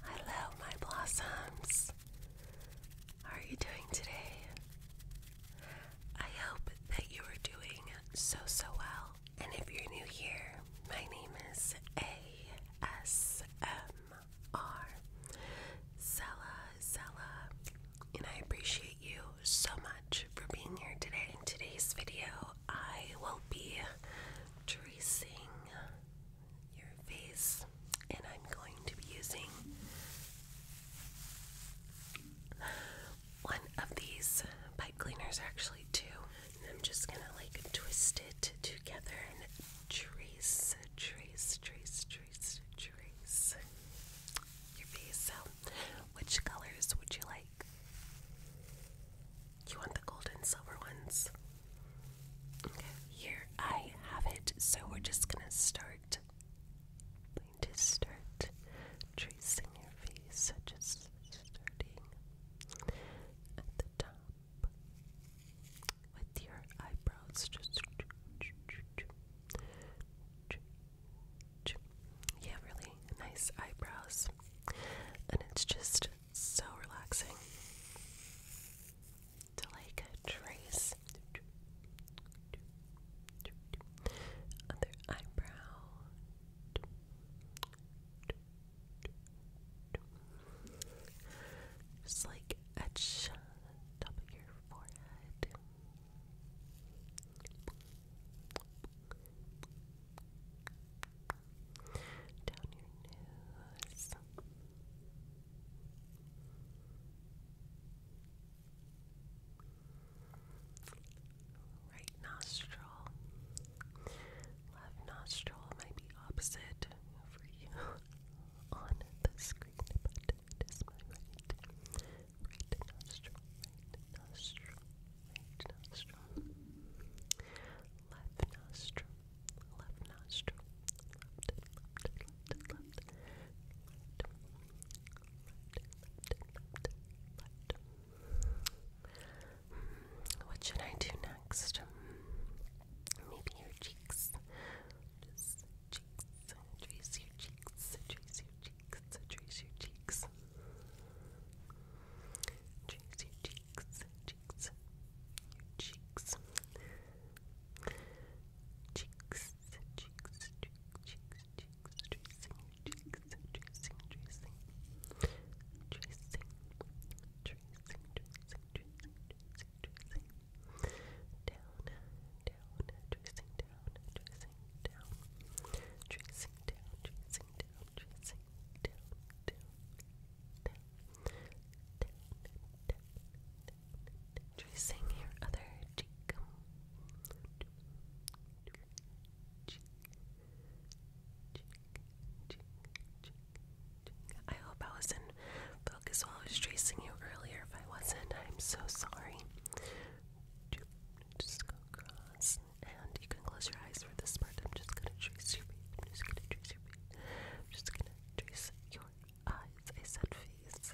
Hello, my blossoms. How are you doing today? I hope that you are doing so, so well. And if you're new here, my name is ASMR Zella Zella, and I appreciate you so much for being here today. In today's video, I will be tracing your face, and I'm going to be using one of these pipe cleaners, actually, two. And I'm just gonna like twist it together and trace, trace, trace, trace, trace your face. So, which colors would you like? You want the gold and silver ones? Okay, here I have it. So we're just gonna start. to start tracing your face, so just starting at the top with your eyebrows. Just yeah, really nice eyebrows, and it's just so relaxing to like trace other eyebrow just like etch top of your forehead down your nose. Right nostril. Left nostril might be opposite for you on the screen, but it is my Right nostril, right nostril, right nostril, left nostril, left nostril, What should I do next? Maybe your cheeks. Just cheeks. Trace your cheeks. Trace your cheeks. Trace your cheeks. Cheeks, your cheeks, cheeks, your cheeks. Cheeks, cheeks, cheeks, cheeks, tracing your cheeks, tracing, tracing. Tracing, tracing, tracing, tracing, tracing, tracing. Down, down, tracing, down, tracing, down. Tracing, down, chasing tracing your other cheek. I hope I was in focus while I was tracing you earlier. If I wasn't, I'm so sorry. Just go across and you can close your eyes for this part. I'm just gonna trace your face. I'm just gonna trace your face. I'm just gonna trace your eyes. I said face.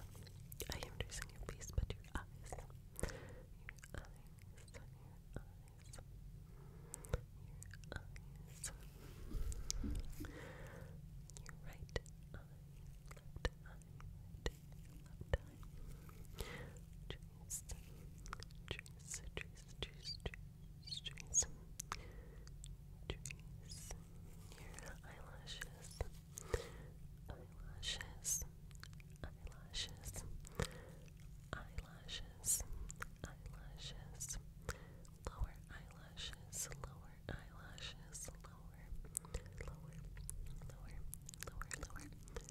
I am tracing your face, but your eyes. Your eyes. Your eyes. Your right eye, left eye, time. Trace, trace, trace, trace, trace, trace. Trace your eyelashes, eyelashes, eyelashes, eyelashes, eyelashes, lower eyelashes, lower eyelashes, lower, lower, lower, lower, lower,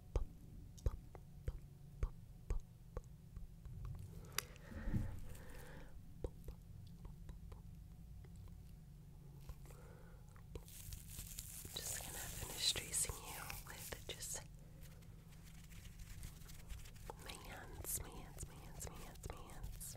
I'm just gonna finish tracing you with just hands, hands, hands, hands, hands.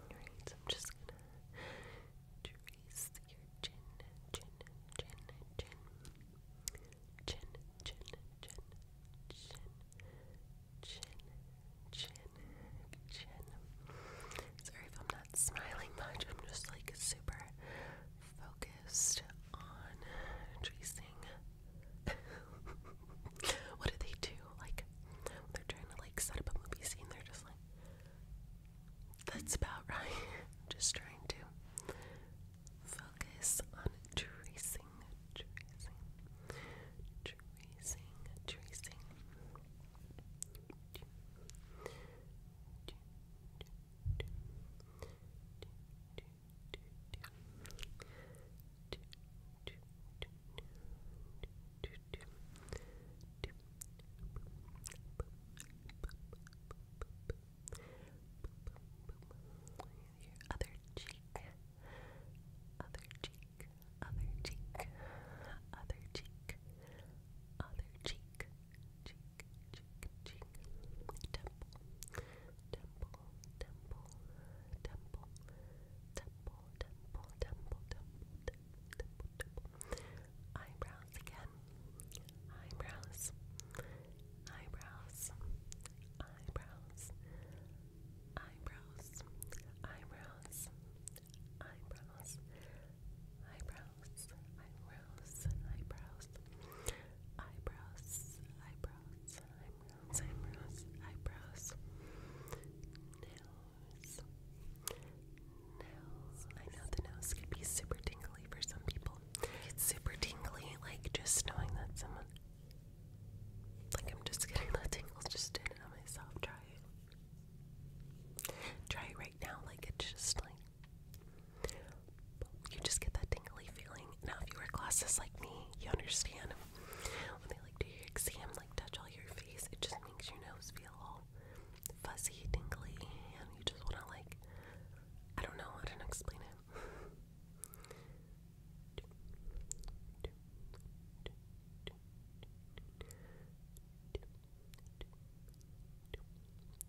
Alright, so I'm just gonna trace your chin, chin, chin, chin, chin, chin, chin, chin, chin, chin, chin. Sorry if I'm not smiling much, I'm just like super focused on tracing. what do they do? Like, they're trying to like set up a movie scene, they're just like, that's about right. just trying to focus on tracing, tracing, tracing, tracing other cheek, other cheek, other cheek, other cheek, other cheek, cheek, cheek, cheek, temple temple, temple, temple, temple, temple, temple, temple, temple, temple. Eyebrows again. Eyebrows. Eyebrows. Eyebrows. Eyebrows. Eyebrows. Eyebrows. Eyebrows. Eyebrows. Eyebrows. Eyebrows. Eyebrows eyebrows, eyebrows, eyebrows, eyebrows, nose, I know the nose could be super tingly for some people. It's super tingly, like just knowing that someone. Like I'm just getting the tingles just in on myself. Try it. Try it right now, like it's just like you just get that tingly feeling. Now, if you wear glasses like me, you understand when they like do your exam, like touch all your face, it just makes your nose feel all fuzzy, tingly, and you just want to like I don't know how to explain it.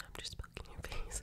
I'm just poking your face.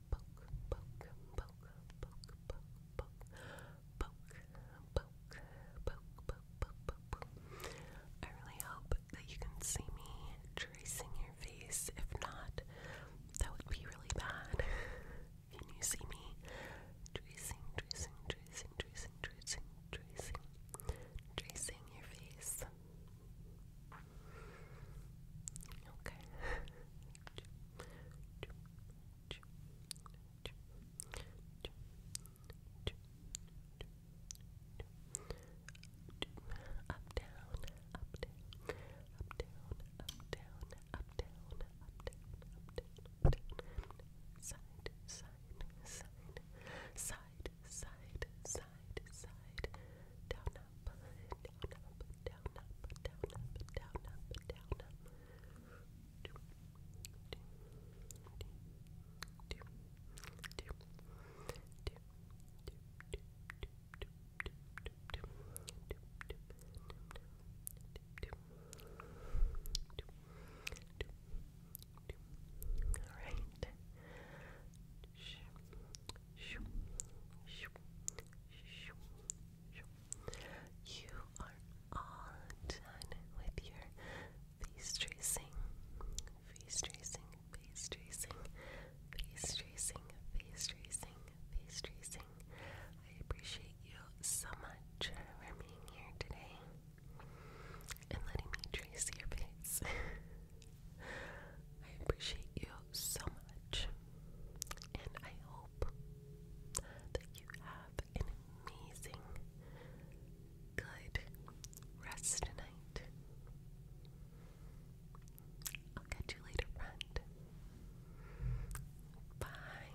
I really hope that you can see me tracing your face. If not, that would be really bad. Can you see me tracing, tracing, tracing, tracing, tracing, tracing, tracing your face? Okay. Up down, up down, up down, up down, up down, up down, up down, up down. Side, side, side, side, side, side, side. Down, up, down you are all with your face tracing, face tracing, face tracing, face tracing, face tracing. I appreciate you so much for being here today and letting me trace your face. I appreciate you so much, and I hope that you have an amazing, good rest tonight. I'll catch you later, friend. Bye.